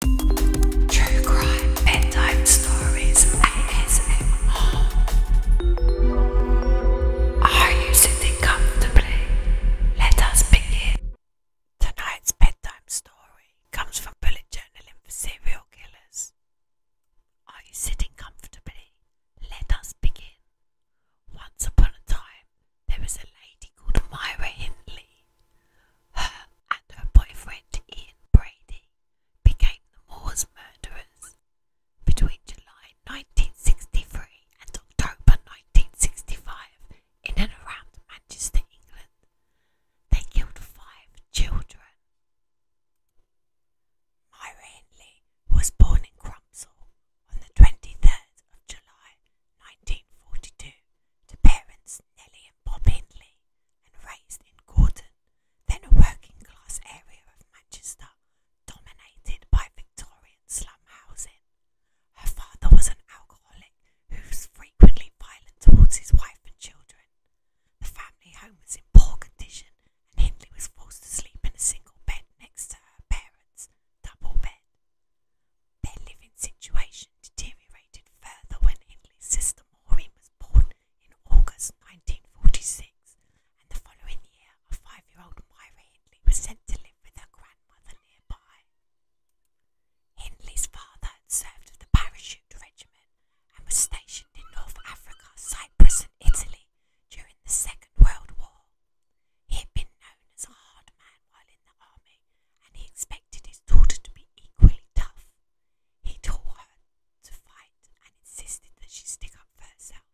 True crime, bedtime stories, ASMR. Are you sitting comfortably? Let us begin. Tonight's bedtime story comes from bullet journaling for serial killers. Are you sitting comfortably? Let us begin. Once upon a time, there was a lady called Myra Hindley her and her boyfriend Ian Brady became the Moors murderers. Between July 1963 and October 1965, in and around Manchester, England, they killed five children. Myra Hindley was born in Crumpsall on the 23rd of July 1942 to parents Nellie and Bob Hindley and raised in Gordon, then a working class area of Manchester dominated by Victorian slum housing. Her father was an alcoholic who was frequently violent towards his wife and children. The family home was in poor condition, and Hindley was forced to sleep in a single bed next to her parents' double bed. Their living situation situation deteriorated further when Henley's sister Maureen was born in August 1946, and the following year a five year old Myra was sent to live with her grandmother nearby. Henley's father had served in the parachute regiment and was stationed in North Africa, Cyprus, and Italy during the Second World War. He had been known as a hard man in the army and he expected his daughter to be equally tough. He taught her to fight and insisted that she stick up for herself.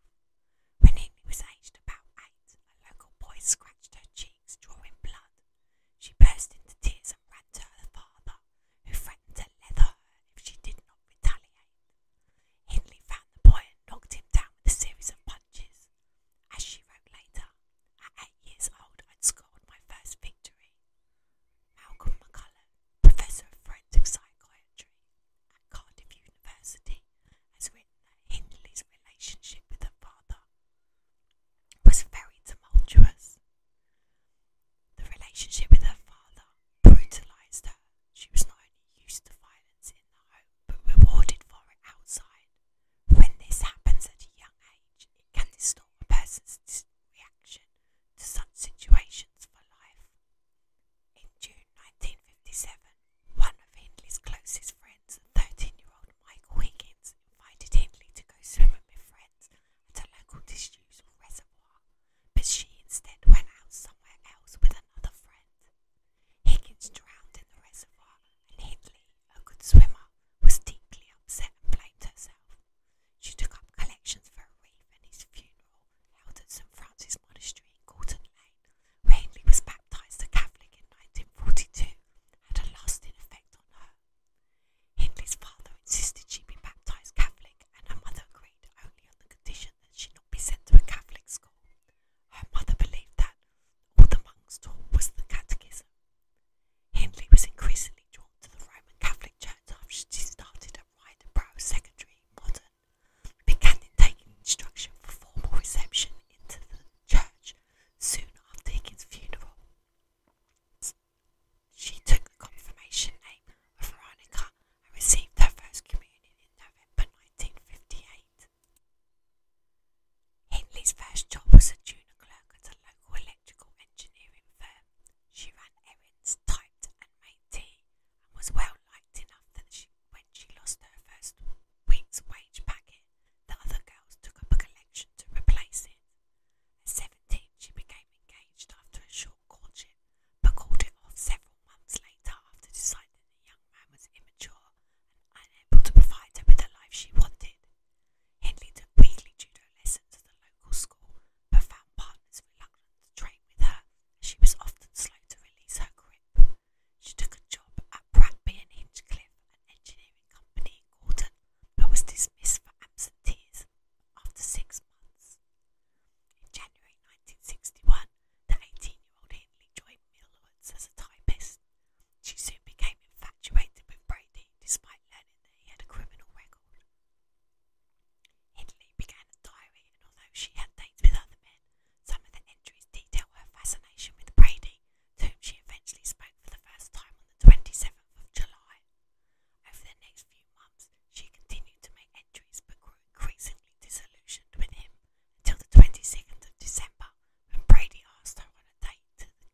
When he was aged about eight, a local boy scratched her cheeks, drawing blood. She burst into tears and ran to her father, who threatened to leather her if she did not retaliate. Hindley found the boy and knocked him down with a series of punches. As she wrote later, at eight years old, I'd scored my first victory. Malcolm McCullough, Professor of Forensic Psychiatry at Cardiff University, has written that Hindley's relationship with her father was very tumultuous. The relationship with her father brutalised her. She was not used to violence in the home, but rewarded for it outside. When this happens at a young age, can distort a person's reaction to such situations for life. In June 1957, one of Hindley's closest friends, 13 year old Michael Higgins, invited Hindley to go swimming with friends at a local disused reservoir, but she instead went out somewhere else with another friend. Higgins drowned in the reservoir, and Hindley, a good swimmer, was deeply upset and blamed herself. She took up collections for a wreath and his funeral, held at St. Francis Monastery in Gordon Lane, where was baptized a Catholic in 1942, had a lasting effect on her. Hindley's father insisted she be baptized Catholic, and her mother agreed only on the condition that she not be sent to a Catholic school. Her mother believed that all the monks taught was the catechism, Hindley was increasingly drawn to the Roman Catholic Church after she started a at Rydenborough Secondary Modern, began taking instruction for formal reception into the church soon after Higgins' funeral. She took the confirmation name of Veronica and received her first communion in November 1958. Hindley's first job was a junior clerk at a local electrical engineering firm. She ran errands, typed, and made tea, was well liked enough that when she lost her first week's wage packet, the other girls took up a collection to replace it. At seventeen, she became engaged after a short courtship, but called it off several months later after deciding the young man was immature and unable to provide her with the life she wanted. Henley took weekly judo lesson at the local school but found partners to trade with her, she was often slow to release her grip. She took a job at Bradby and Hinchcliffe, an engineering company in Gordon, but was dismissed for absenteeism after six months. In January 1961, the 18-year-old Hindley joined Millwoods as a typist. She soon became infatuated with Brady, despite learning that he had a criminal record. Italy began a diary, and although she had dates with other men, some of the entries detail her fascination with Brady, to whom she eventually spoke for the first time on the 27th of July. Over the next few months, she continued to make entries but grew increasingly disillusioned with him until the 22nd of December when Brady asked her on a date to the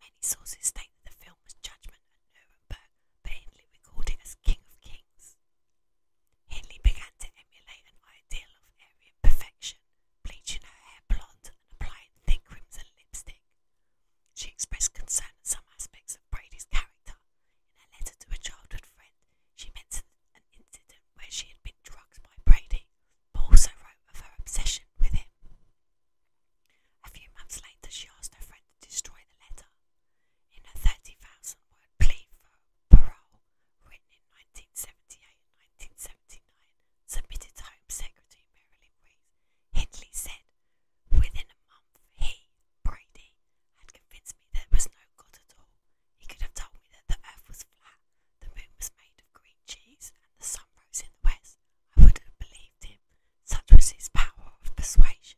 Many sources state the film was judgment at Nuremberg, but Hindley as King of Kings. Hindley began to emulate an ideal of Aryan perfection, bleaching her hair blonde applying thick crimson lipstick. She expressed concern at some aspects of Brady's character. In a letter to a childhood friend, she mentioned an incident where she had been drugged by Brady, but also wrote of her obsession with him. A few months later, she asked her friend to destroy the letter. In a 30,000 word plea for parole, written in 1978 1979, submitted to Home Secretary Marilyn Reed, Hindley said, Within a month, he, Brady, had convinced me there was no God at all. He could have told me that the earth was flat, the moon was made of green cheese, and the sun rose in the west. I would have believed such was his power of persuasion.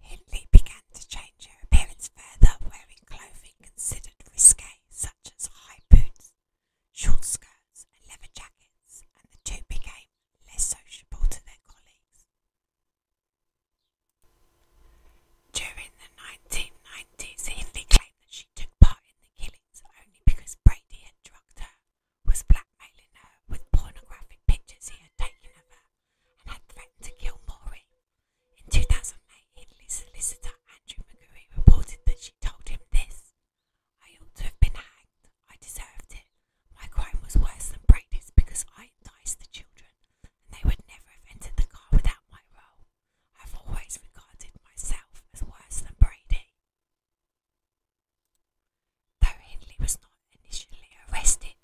Hindley began to change her appearance further, wearing clothing considered risque, such as high boots, short skirts, and leather jackets, and the two became less sociable to their colleagues. During the 1990s, Hindley claimed that she took part in the killings only because Brady had drugged her was blackmailing her with pornographic pictures he had taken of her and had threatened to kill Maury. In 2008, his solicitor Andrew McGury reported that she told him this I ought to have been hanged. I deserved it. My crime was worse than Brady's because I enticed the children they would never have entered the car without my role. I've always regarded myself as worse than Brady. Though Hindley was not initially arrested,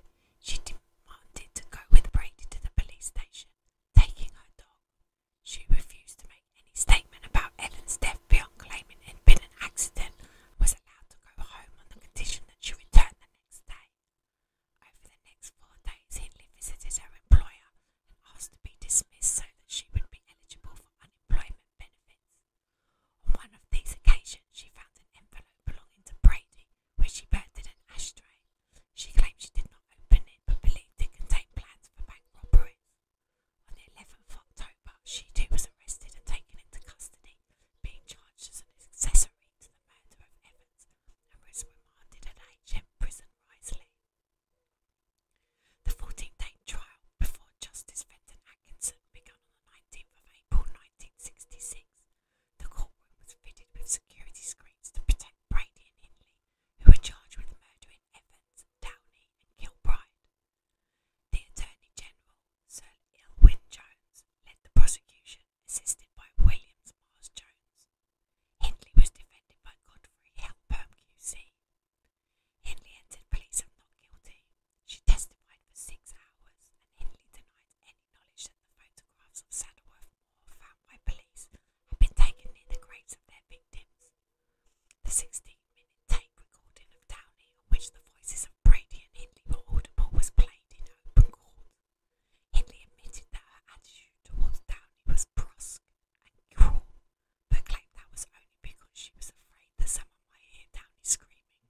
she demanded to go with Brady to the police station, taking her dog. She refused to make any statement about Ellen's death beyond claiming it had been an accident and was allowed to go home on the condition that she returned the next day. Over the next four days, Hindley visited her employer and asked to be dismissed so that she would be eligible for unemployment government benefits. On one of these occasions, she found an envelope belonging to Brady, where she burned an ashtray. She claimed she did not open it, but believed it contained plans for bank robberies. On the 11th of October, she too was arrested and taken into custody, being charged as an accessory to the murder of Evans and was remanded at H.M. Prison, Risley. The 14-day trial before Justice Fenton Atkinson began on 19 19th April 1966. The court was fitted with security screens to protect Brady and Hindley, who were charged with murdering Evans, Downey, and Kilbride. The Attorney General, Sir Elwyn Jones, led the prosecution, assisted by Williams Mars Jones. Hindley was defended by Godfrey Helperm QC. Henley entered police are She testified for six hours, and Henley denied any knowledge that the photographs of Saddleworth Moor found by police had been taken in the graves of their victims. The 16-minute tape recording of Downey, on which the voices of Brady and Henley audible, was played in open court. Henley admitted that her attitude towards Downey was brusque but claimed that was only because she was afraid that someone might hear Downey screaming.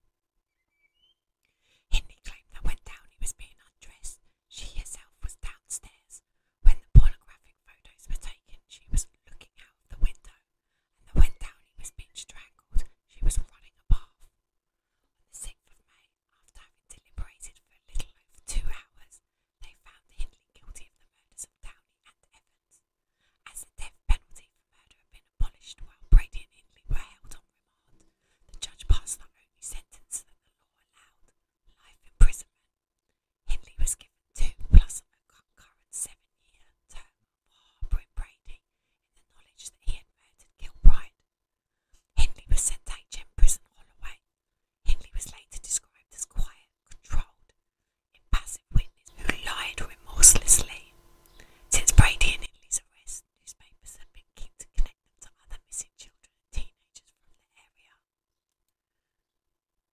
Hindley claimed that when Downey was being undressed, she herself was downstairs. When the pornographic photos were taken, she was looking out of the window, and that when Downey was being strangled, she was running a bath. On the 6th of May, after having deliberated for a little over two hours, they found Hindley guilty of the murders of Downey and Evans. As the death penalty for murder had been while Brady and Hindley were held on remand, the judge passed the only sentence that the law life Hindley was given two seven year term for harbouring Brady in the knowledge Hindley was sent to HM Prison Holloway. Hindley was later described as quiet, controlled, impassive witness who lied remorselessly. Since Brady and Italy's arrest, newspapers have been keen to connect them to other missing children and teenagers from the area.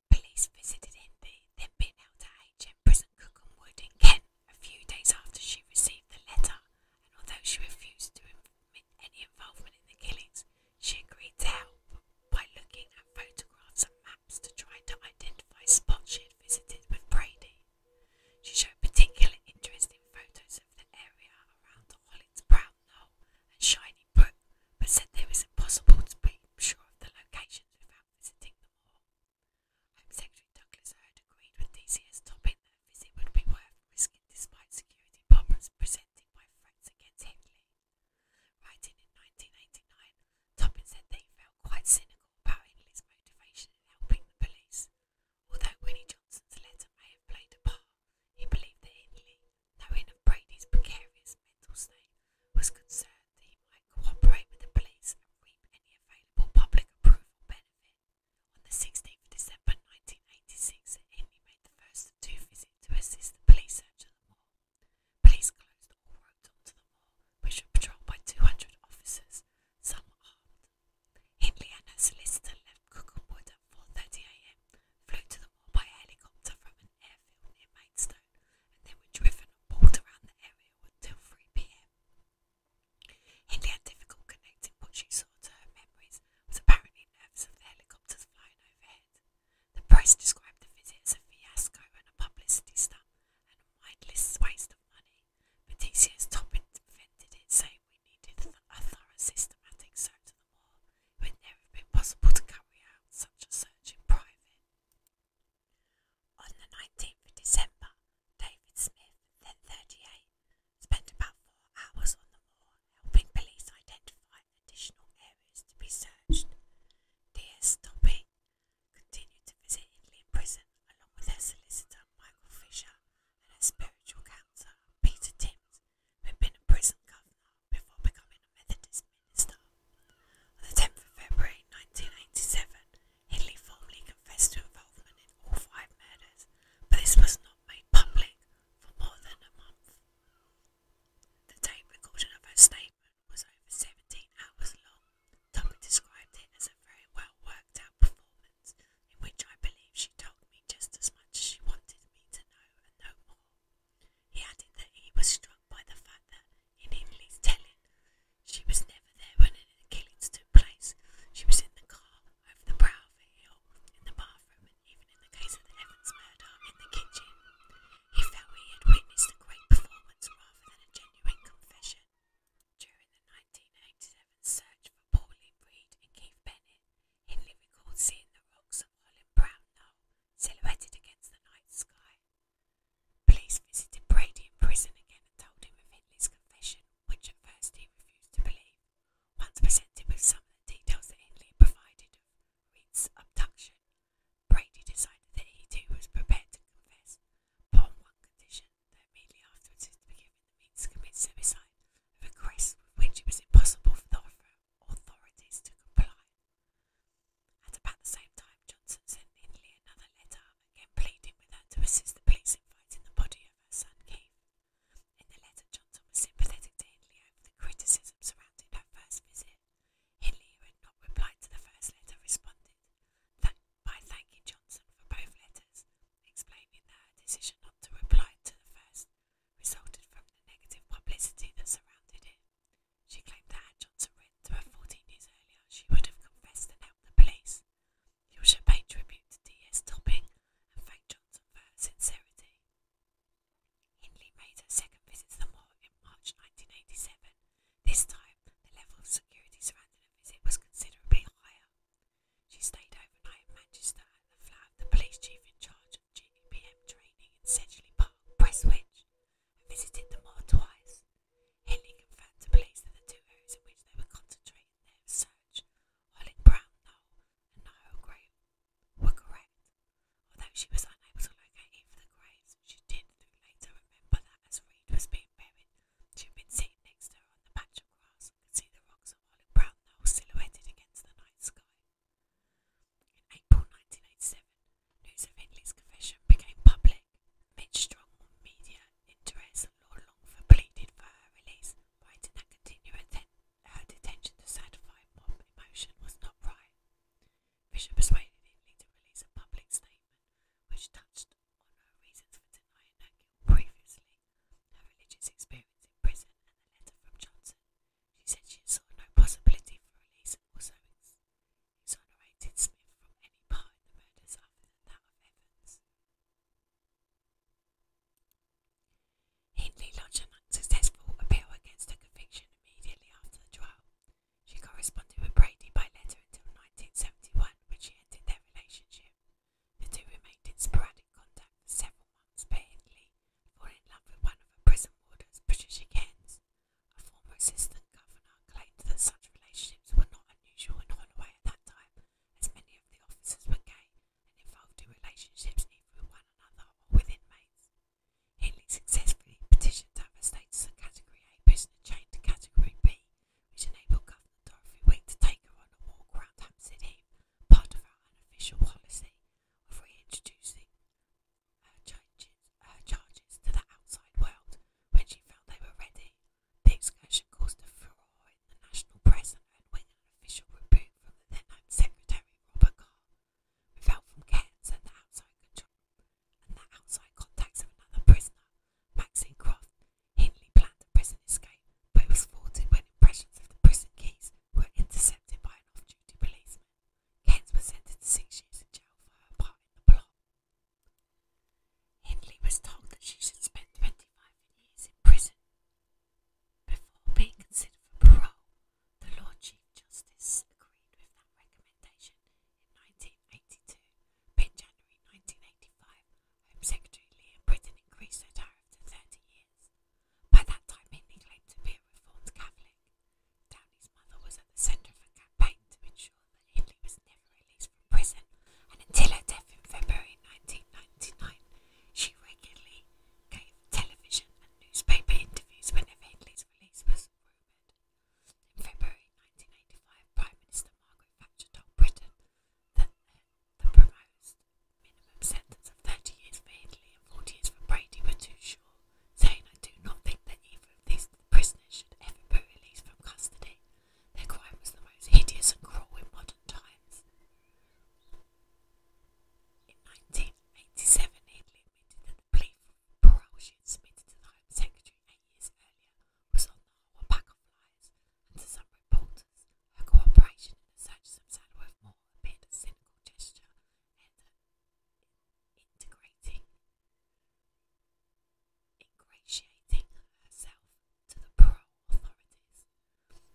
Police visited Indy, then been held at HM Prison Cookham Wood in Kent a few days after she received the letter, and although she refused to admit any involvement in the killings, she agreed to help by looking photographs and maps to try to identify spots she had visited with Brady. She showed particular interest in photos of the area around the Hollins Brown Knoll and Shiny Brook, but said it was impossible to be sure of the locations without visiting them all. Home Secretary Douglas Hurd agreed with DCS Toppin that a visit would be worth risking despite security problems presented by threats against Hindley. Writing in 1989, Toppin said that he felt quite cynical about Ingley's motivation in helping the police. Although Winnie Johnson's letter may have played a part, he believed that Ingley, knowing of Brady's precarious mental state, was concerned that he might cooperate with the police and reap any available public approval benefit. On the 16th of December 1986, Ingley made the first of two visits to assist the police search of the war. Police closed all roads onto the moor, which were patrolled by 200 officers, some armed. Hindley and her solicitor left at 4.30am, flew to the moor by helicopter from an airfield near Maidstone, and driven and pulled around the area until 3pm. Hindley had difficult connecting what she saw to her memories, was apparently nervous of the helicopters overhead. The press described the visit as a fiasco and a publicity stunt, and a mindless waste of money. Petitius Top invented it, so we needed a thorough systematic search of the mall. It would never have been possible to carry out such a search in private. On the 19th of December, David Smith, then 38, spent about four hours on the moor, helping police identify additional areas to be searched. D.S. Toppy continued to visit Italy in prison along with her solicitor Michael Fisher and her spiritual counselor Peter Timms, who had been a prison governor before becoming a Methodist minister. On the 10th of February 1987, Italy formally confessed to involvement in all five murders, but this was not made public for more than a month. The tape recording of her statement was over 17 hours long. Tucker described it as a very well worked out performance, in which I believe she told me just as much as she wanted me to know and no more. He added that he was struck by the fact that, in Emily's telling, she was never there when an Achilles took place. She was in the car, over the brow of a hill, in the bathroom, and even in the case of the Evans murder, in the kitchen. He felt he had witnessed a great performance rather than a genuine confession, during the 1987 search for Pauline Reed and Keith Bennett, in Liverpool, seeing the rocks of Holland Brown Knoll silhouetted against the night sky. Police visited Brady in prison again and told him of his confession, which at first he refused to believe. Once presented with some of the details that had been provided of Reed's abduction, Brady decided that he too was prepared to confess, upon one condition that immediately afterwards he was to commit suicide, a request which it was impossible for the authorities to comply. At about the same time, Johnson sent Hindley another letter, again pleading with her to assist the police in finding the body of her son Keith. In the letter, Johnson was sympathetic to Hindley over the criticism surrounding her first visit. Hindley, who had not replied to the first letter, responded, Thank by thanking Johnson for both letters, explaining that her decision not to reply to the first resulted from the negative publicity that surrounded it. She claimed that had Johnson written to her 14 years earlier, she would have confessed and helped the police. She also paid tribute to D.S. Topping and thanked Johnson for her sincerity. Hindley made her second visit to the moor in March 1987 this time, the level of security surrounding the visit was considerably higher. She stayed overnight in Manchester at the flat of the police chief in charge of GBM training in Sedgley Park, Prestwich, and visited the moor twice. Henley found to place that the two areas in which they were concentrating their research, Olive Brown Knoll and Nile Grave, were correct, although she was unable to locate either of the graves. She did, through later, remember that as Reed was being buried, she had been sitting next to her on the patch of grass and seen see the rocks of olive brown knoll silhouetted against the night sky. In April 1987, news of Hindley's became public. Amid strong media interest, Lord Longford pleaded for her release, writing that continuing her detention to satisfy mob emotion was not right. Fisher persuaded Hindley to release a public statement which touched on her previously, her religious experience in prison, and the letter possibility for release and also exonerated from any part in the murders that of Evans. Hindley lodged an unsuccessful appeal against her conviction immediately after the trial, she corresponded with Brady by letter until 1971, when she ended their relationship. The two remained in sporadic contact several months, apparently falling in love with one of her prison wardens, Patricia Cairns. A former assistant governor claimed that such relationships were not unusual in Holloway at that time, as many of the officers were gay and involved in relationships either with one another or with inmates. Healy successfully petitioned to have her status a Category A prisoner chained to Category B which enabled Governor Dorothy Wing to take a walk around Hampstead Heath, part of our unofficial policy of reintroducing her charges, to the outside world when she felt they were ready. The excursion caused a furore in the national press and earned official rebuke then Secretary Robert Carr, felt from Cairns the outside control and outside contacts of another prisoner, Maxine Croft, Hindley planned a prison escape, but was thwarted when impressions of the prison keys were intercepted by an off-duty policeman. Kent was sentenced to six years in jail for her part in the plot. Hindley was told that she should spend 25 years in prison. Before being considered for the Lord Chief Justice agreed with that recommendation in 19 1982, but in January 1985, Home Secretary Liam Britton increased the tariff in 30 years. By that time, Hindley claimed to be a reformed Catholic. Downey's mother was at the centre of a campaign to ensure that Hindley was never released from prison, and until her death in February 1999, she regularly gave television and newspaper interviews whenever Hindley's release was rumoured. In February 1985, Prime Minister Margaret Thatcher told Britain that uh, the proposed minimum sentence of 30 years for Italy and 40 for Brady were too short, saying, I do not think that either of prisoners ever be from custody. Their crime was the most hideous and cruel in modern times. In 1987, Italy admitted that the plea for to the Home Secretary eight years the whole suppliers, and to some reporters, cooperation in the search of Sandworth Moore a cynical gesture and integrating, ingratiating herself to the parole authorities.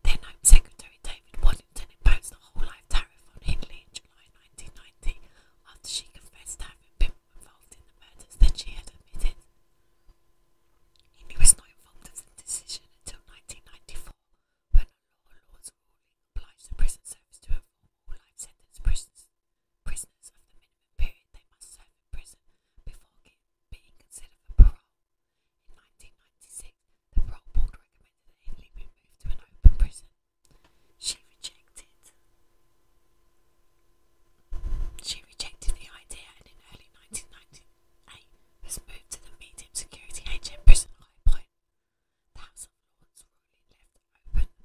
Then Home Secretary David Waddington imposed a whole life tariff on Hindley in July 1990 after she confessed to having been involved in the murders than she had admitted. He was not involved in the decision until 1994, when a law law's ruling obliged the prison service to inform all life sentence prisoners, prisoners of the minimum period they must serve in prison before being considered for parole. In 1996, the parole board recommended that Hindley be moved to an open prison. She rejected she rejected the idea and in early 1998 was moved to the medium security HM prison at That's Point. The House of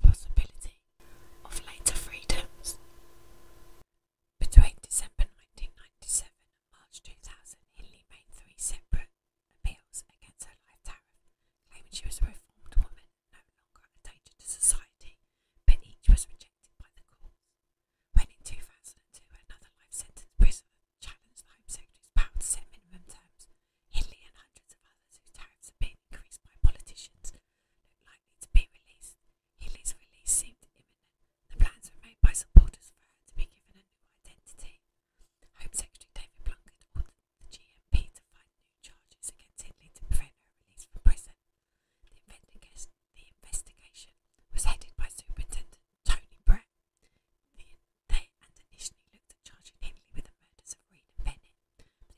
possibility of later freedoms. Between December 1997 and March 2000, Hillary made three separate appeals against her life tariff, she was a reformed woman, no longer a danger to society, but each was rejected by the court. When in 2002 another life sentence prisoner challenged the Home Secretary's power to set minimum terms, Hindley and hundreds of others whose tariffs had been increased by politicians looked likely to be released. Hindley's release seemed imminent. The plans were made by supporters for her to be given a new identity. Home Secretary David Plunkett ordered the GMP to find new charges against Hindley to prevent her release from prison. Robinson. The investigation, was headed by Superintendent Tony Brett. they initially looked at with the murders of Reed and Bennett, but the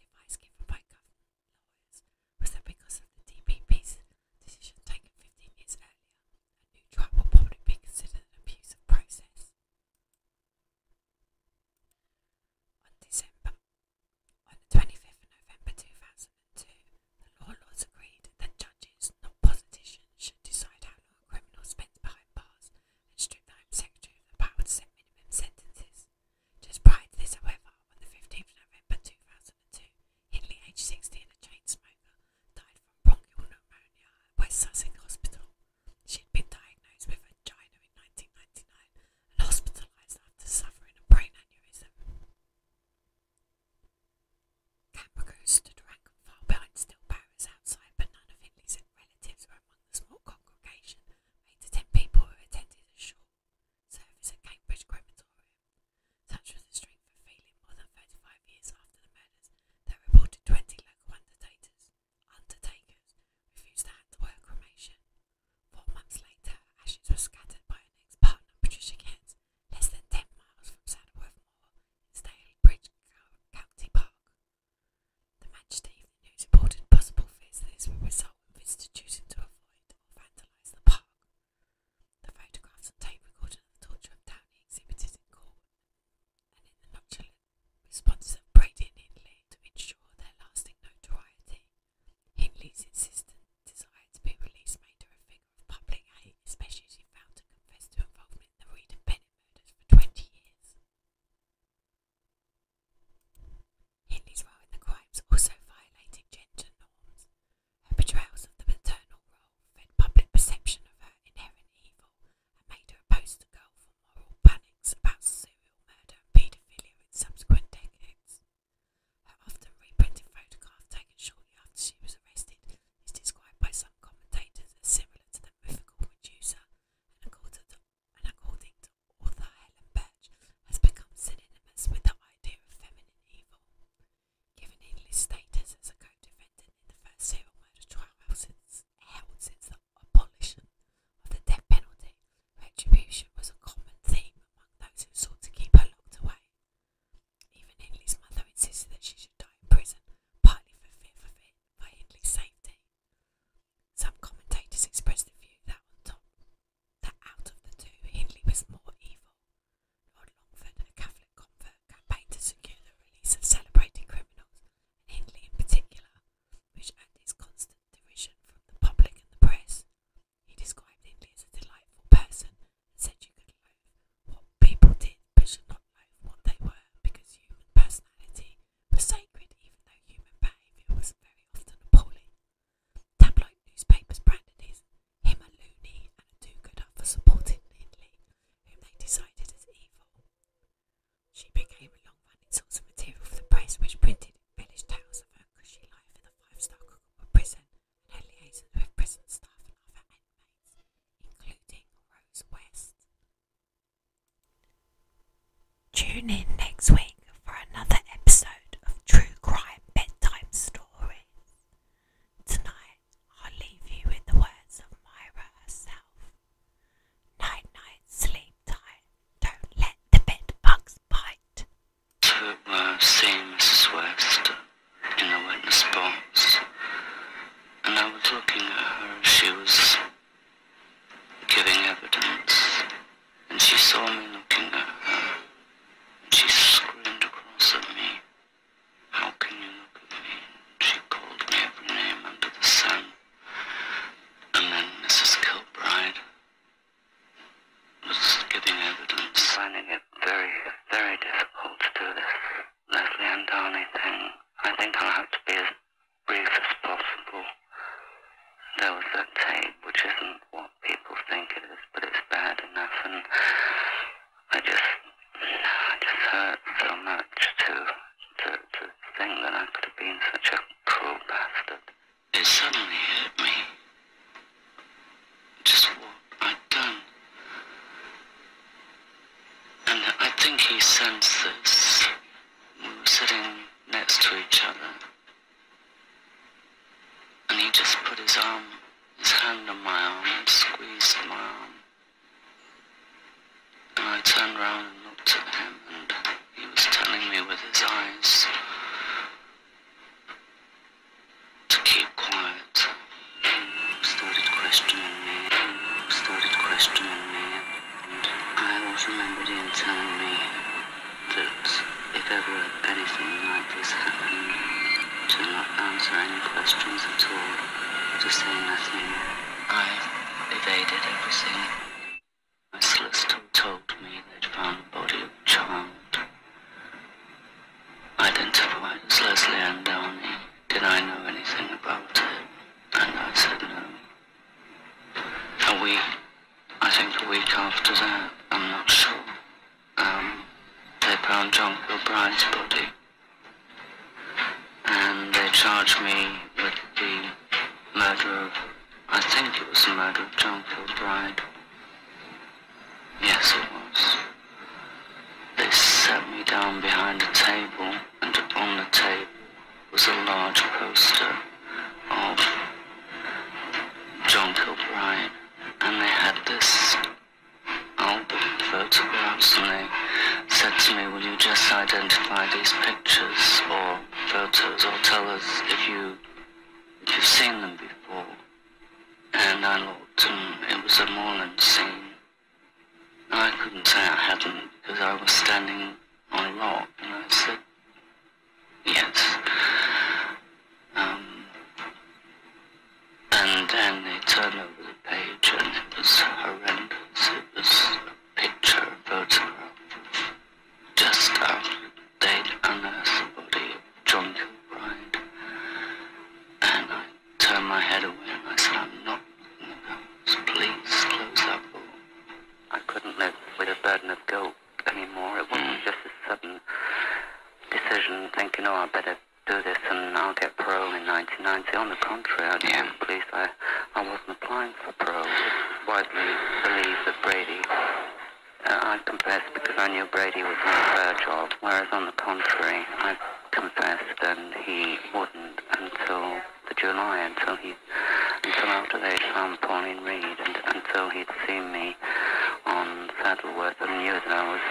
was that because of the DPP's decision taken 15 years earlier, a new trial would probably abuse of process. On the 25th of November 2002, all laws agreed that judges, not politicians, should decide how long criminals spend behind bars and strip the Home Secretary of the power to set minimum sentences. Just prior to this, however, on the 15th of November 2002, Hindley, aged 60, a chain smoker, died from bronchial pneumonia at West Sussex Hospital. She had been diagnosed with angina in 1999 and hospitalised after suffering a brain aneurysm. Capricorn stood rank and file behind still powers outside, but none of Hindley's relatives were among the small congregation made to ten people who attended a short service at Cambridge Crematorium. Such was the strength of feeling more than thirty five years after the murders that reported twenty local undertakers undertakers refused to hand over cremation. Four months later, ashes were scattered by her ex partner Patricia Kent less than 10 miles from Sandworth Moor in Stalybridge County Park. The Manchester Evening News reported possible fears this will result in visitors choosing to the photographs and tape of torture of Downey exhibited in court and in the nonchalant responses of Brady and Italy to ensure their lasting notoriety. Hindley's insistent desire to be released made her a public hate, especially as she failed to confess involvement in the Reed and Bennett for 20 years. Hindley's role in the crimes also violating gender norms. Her portrayals of the paternal role fed public perception of her inherent evil and made her a poster girl for all panics about serial murder and paedophilia in subsequent decades. Her often reprinted photograph taken shortly after she was arrested is described by some commentators as similar to the mythical Medusa, according to, and according to author Helen has become synonymous with idea of feminine evil. Given English status as a co the first serial murder trial since, held since the abolition of the death penalty, retribution was a common theme among those sought to keep her locked away. Even Hindley's mother insisted that she should die in prison, partly for fear of it by Hindley's safety. Some commentators expressed the view that on top that out of the two, Hindley was more evil. Lord Longford, a Catholic convert, campaigned to secure the release of celebrated criminals, and Hindley in particular, which had its constant derision from the public and the press. He described Hindley as a delightful person and said you could loathe what people did but should not loathe what they were because human personality was sacred even though human behaviour was very often appalling. Tabloid newspapers branded his, him a loony and a do-gooder for supporting Hindley, whom they decided as evil. She became a long-running source of material for the press which printed Village tales of her cushy life in the five-star prison and you liaison prison staff including Rose West. Tune in next week for another episode of True Crime Bedtime Stories. Tonight, i leave you with the words of Myra herself. Night, night, sleep tight. Don't let the bed bugs bite. I uh, seeing Mrs. West in a witness box, and I was looking at her she was giving evidence, and she saw me looking at her, and she screamed across at me, how can you look at me? she called me every name under the sun, and then Mrs. Kilbride, just getting evidence. Finding it very, very difficult to do this. Leslie and Darnley thing. I think I'll have to be as brief as possible. There was that tape, which isn't what people think it is, but it's bad enough, and I just, I just hurt so much to, to, to think that I could have been such a cruel bastard. It suddenly hit me just what I'd done. And I think he sensed this. We were sitting next to each other. And he just put his arm, his hand on my arm and squeezed my arm. And I turned around and looked at him and he was telling me with his eyes to keep quiet. Started questioning me. Started questioning me. I was remembered him telling me that if ever anything like this happened, to not answer any questions at all, to say nothing. I evaded everything. My sister told me they'd found the body of a child. Identifies Leslie Ann Did I know anything about it? And I said no. A week, I think a week after that, I'm not sure, um, they found John Kilbride's body. And they charged me with the murder of, I think it was the murder of John Kilbride. Yes, it was. They set me down behind a table, and on the table was a large poster of John Kilbride, and they had this album photographs, and they said to me, will you just identify these pictures or photos, or tell us if, you, if you've seen them before? and I looked and it was a moorland scene. I couldn't say I hadn't because I was standing on a rock and I said, yes. Um, and then they turned over the page and it was horrendous. It was a picture, a photograph, just after they'd unearthed drunk bride. And I turned my head away and I said, I'm not letting the girls. Please close up." I couldn't live with a burden of guilt anymore. It wasn't mm. just a sudden decision thinking, oh, I better do this and I'll get parole in 1990. On the contrary, I yeah. told the I, I wasn't applying for parole. It's widely believed that Brady, uh, I confess because I knew Brady was on the verge of whereas on the contrary, I confessed and he wouldn't until the July, until he, until after they found Pauline Reed, and until he'd seen me on Saddleworth and knew that I was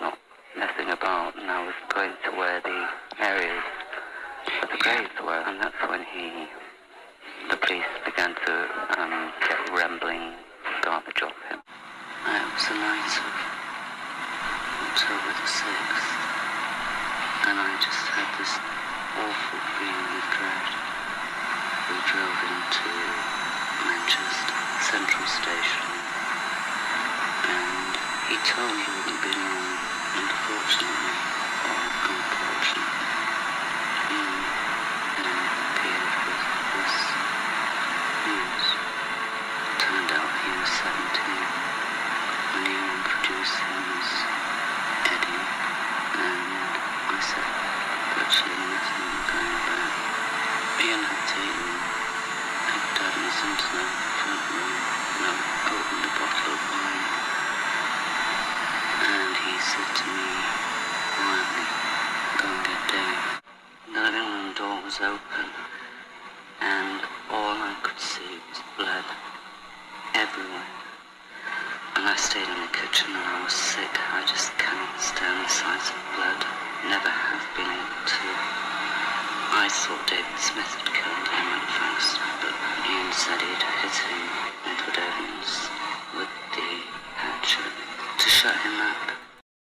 not messing about and I was going to where the areas of the graves were, and that's when he, the police began to um, get rambling I was the night of October the 6th. And I just had this awful feeling of dread. We drove into Manchester Central Station. And he told me he would be long. And fortunately, or unfortunately, he appeared with this news. Turned out he was 17. Leo introduced him as Eddie, and I said virtually not going back. Ian had taken had a into the front room and I opened a bottle of wine. And he said to me quietly, go get Dave. The living room door was open, and all I could see was blood everywhere. And I stayed in the kitchen and I was sick. I just cannot stand the sight of blood. Never have been able to. I thought David Smith had killed him at first, but he said he'd hit him, Edward Evans, with the hatchet to shut him up.